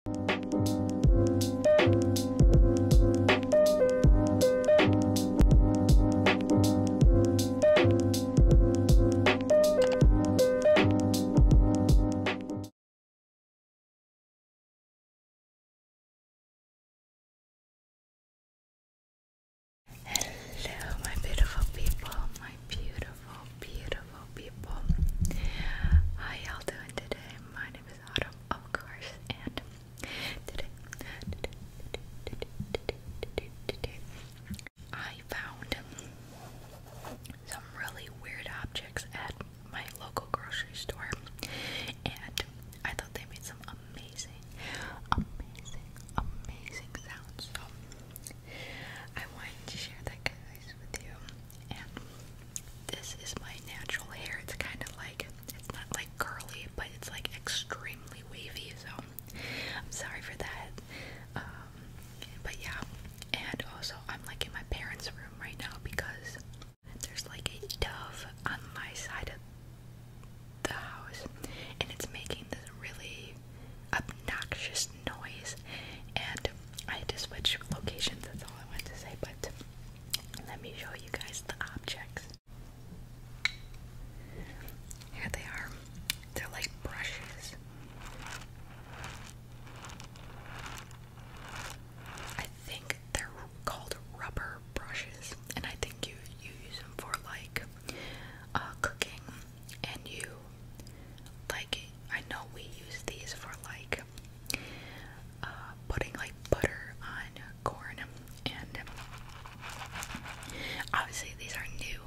Hello, my beautiful people, my beautiful, beautiful people. How y'all doing today? My name it was of course, and today, I found some really weird objects at my local grocery store, and I thought they made some amazing, amazing, amazing sounds. I wanted to share that, guys, with you. And this is my natural hair. It's kind of like, it's not like curly, but it's like extremely wavy. So I'm sorry for that. Um, but yeah. And also, I'm like in my parents' room right now because there's like a dove on my side of the house and it's making this really obnoxious noise and I had to switch locations, that's all I wanted to say, but let me show you guys the objects. Here they are. They're like brushes. I think they're called rubber brushes, and I think you you use them for like uh, cooking, and you like I know we use these for like uh, putting like butter on corn, and obviously these are new,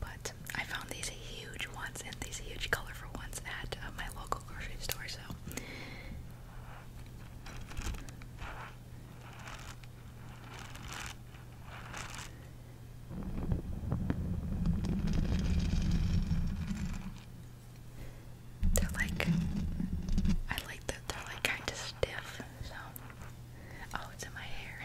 but I found these huge ones and these huge colorful ones at uh, my local grocery store. So. They're like, I like that they're like kind of stiff, so. Oh, it's in my hair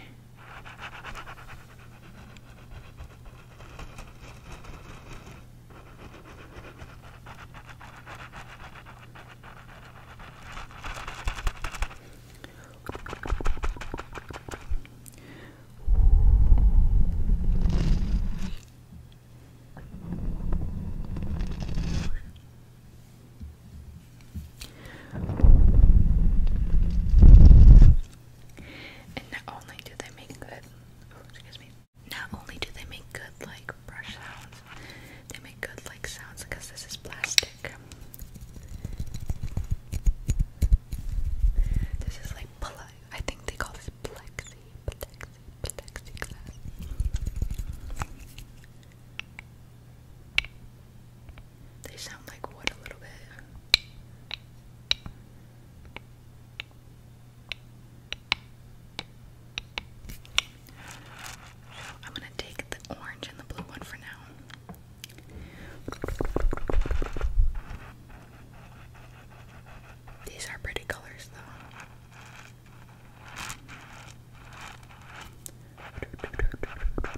not only do they make good, excuse me, not only do they make good like brush sounds, they make good like sounds because this is plastic. This is like, I think they call this plexi, they sound like wood a little bit. I'm gonna take the orange and the blue one for now. These are pretty colors though. Click, click, click, click, click.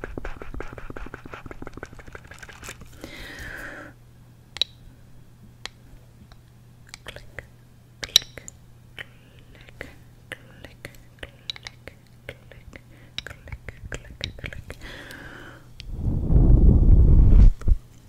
Click, click, click, click.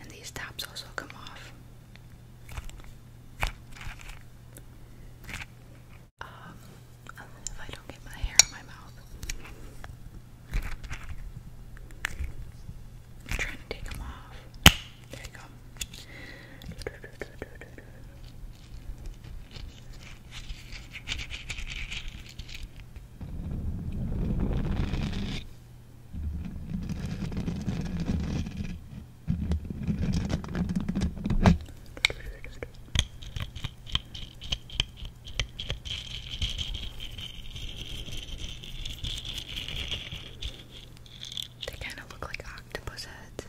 And these tops also come off. Um, if I don't get my hair in my mouth. I'm trying to take them off. There you go. They kind of look like octopus heads.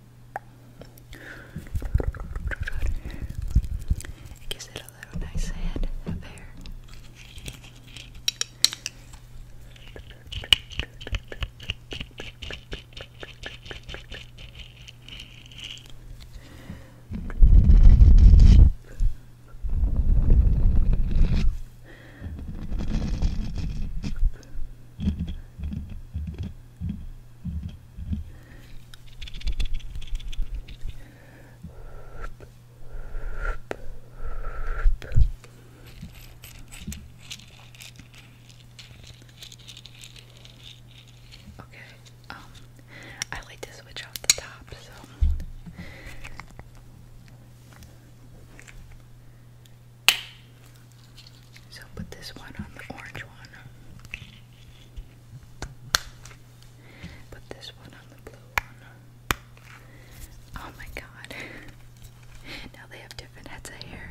It gives it a little nice head of hair. Good. Okay, um, I like to switch off the top, so so put this one on the orange one. Put this one on the blue one. Oh my god. now they have different heads of hair.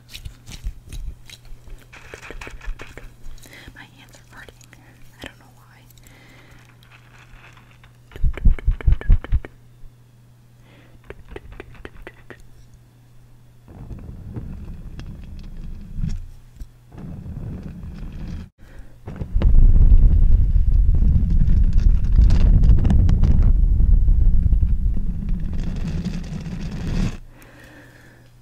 My hands are farting. I don't know why.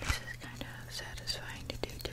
This is kind of satisfying to do too.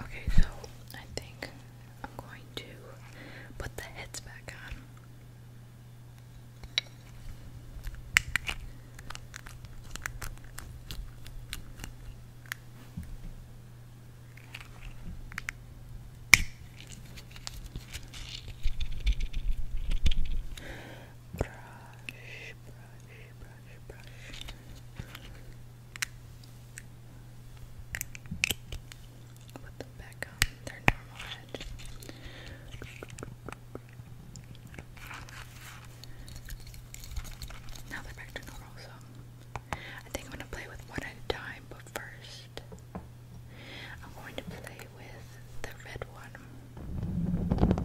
Okay, so I think I'm going to put the heads back on. Brush, brush, brush, brush. Put them back on their normal edge. Now they're back to normal, so I think I'm gonna play with one at a time, but first I'm going to play with the red one.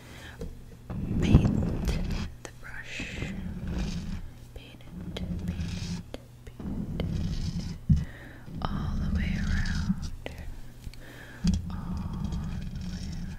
paint the brush. Paint it, paint it, paint it. All the way around. All the way around.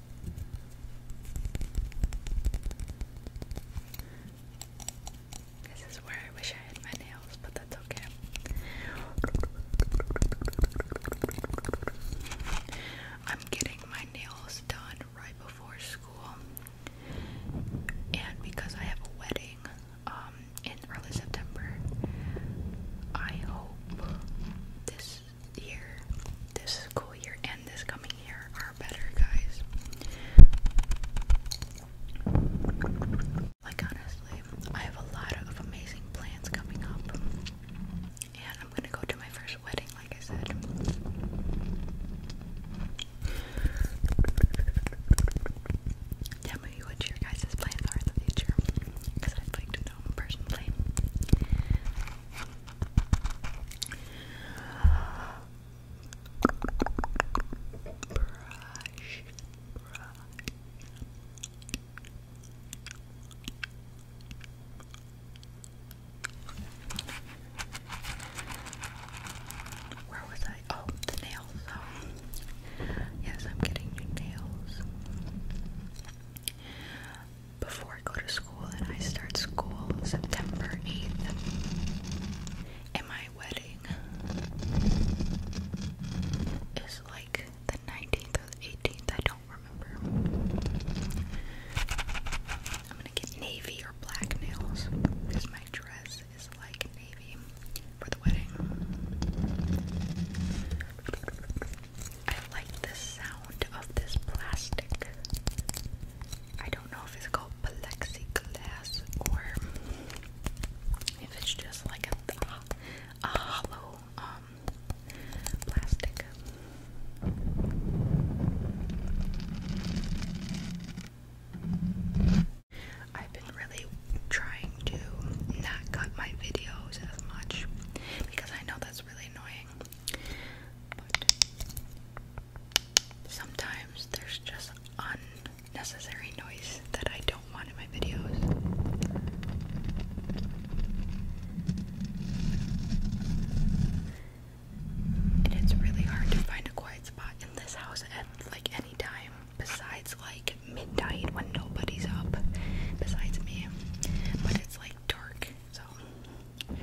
This is where I wish I had my nails, but that's okay. I'm getting my nails done right before school, and because I have a wedding um, in early September, I hope this year, this school year, and this coming year are better, guys. Like, honestly, I have a lot of amazing plans coming up. And I'm gonna go to my first wedding, like I said. Tell me what your guys' plans are in the future. Because I'd like to know personally brush, brush. Where was I? Oh, the nails. Oh. Yes, I'm getting new nails before I go to school, and I start school September 8th. And my wedding is like the 19th or the 18th, I don't remember. I'm gonna get navy or black nails because my dress is like navy for the wedding. I like the sound of this plastic. I don't know if it's called plexiglass or if it's just like a, a hollow um, plastic. I've been really trying to not cut my videos as much because I know that's really annoying. Sometimes there's just unnecessary noise that I don't want in my videos. And it's really hard to find a quiet spot in this house at like any time besides like midnight when nobody's up besides me. But it's like dark, so um,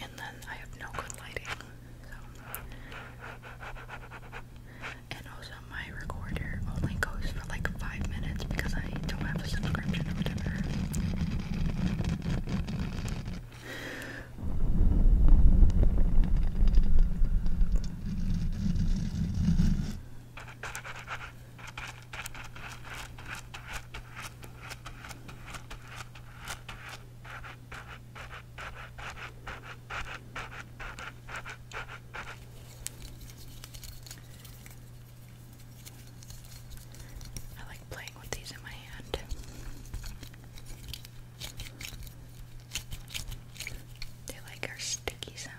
and then I have no good lighting. So. And also my recorder only goes for like five minutes because I don't have a subscription or whatever. I like playing with these in my hand. They like our sticky sounds.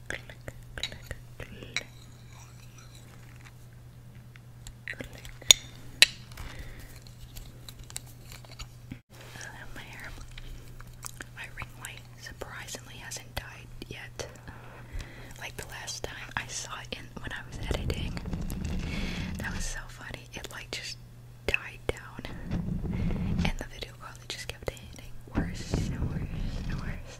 click, click, my surprisingly hasn't died yet. Like the last time I saw it in when I was editing, that was so funny. It like just died down, and the video probably just kept getting worse and worse and worse.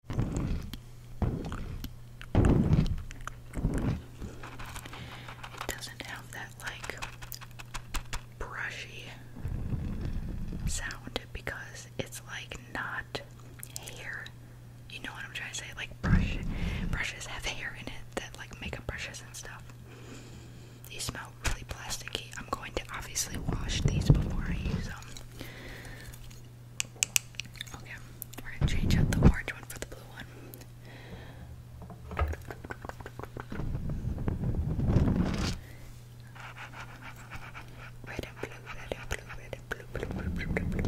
It doesn't have that like brushy sound because it's like not hair. You know what I'm trying to say? Like brush brushes have hair in it that like makeup brushes and stuff. These smell really plasticky. I'm going to obviously wash these before I use them. Okay, we're gonna change out the orange one for the blue one. Red and blue, red and blue, red and blue, blue, blue, blue, blue, blue,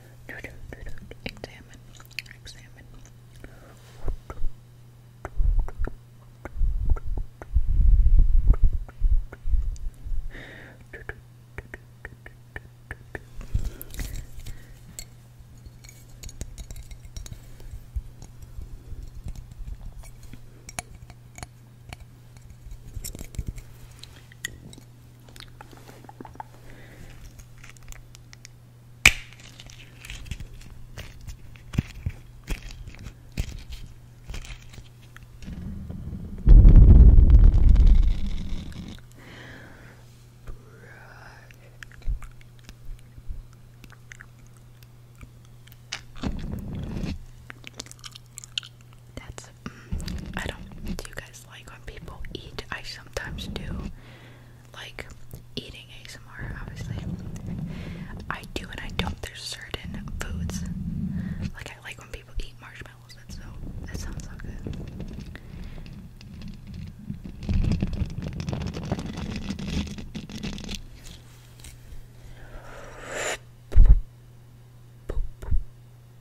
Examine. Examine. That's, mm, I don't, do you guys like when people eat? I sometimes do like eating ASMR, obviously. I do and I don't. There's certain foods. Like I like when people eat marshmallows. That's so that sounds so good.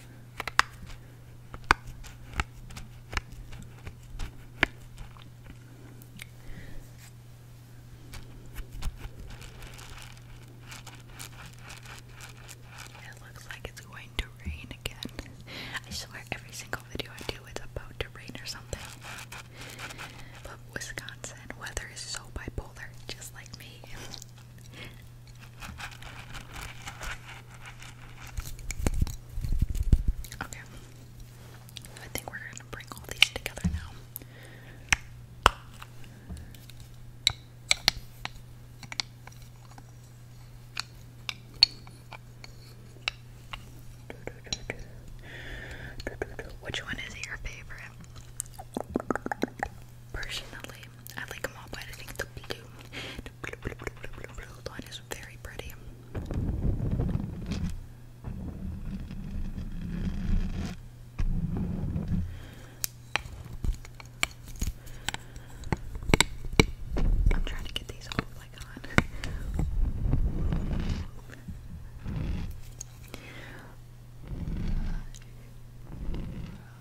It looks like it's going to rain again. I swear every single video I do it's about to rain or something. But Wisconsin weather is so bipolar, just like me. Okay. I think we're going to bring all these together now. Which one is your favorite? Personally, I like them all, but I think the blue, line is very pretty. I'm trying to get these all like on.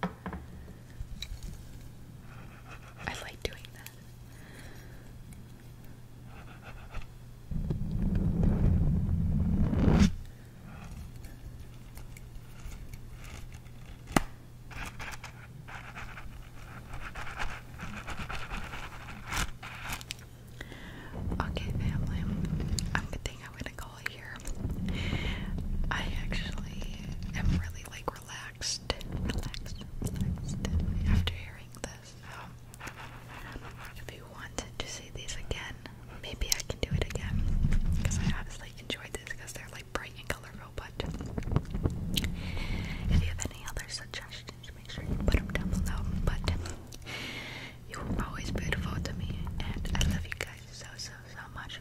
I like doing that. Okay, family. I'm, I think I'm gonna go all I actually am really like relaxed, relaxed, relaxed after hearing this. Um, if you want to see these again, maybe I can do it again because I honestly enjoyed this because they're like bright and colorful. But if you have any other suggestions, make sure you put them down below. But you're always beautiful to me, and I love you guys so so so much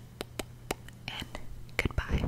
and goodbye.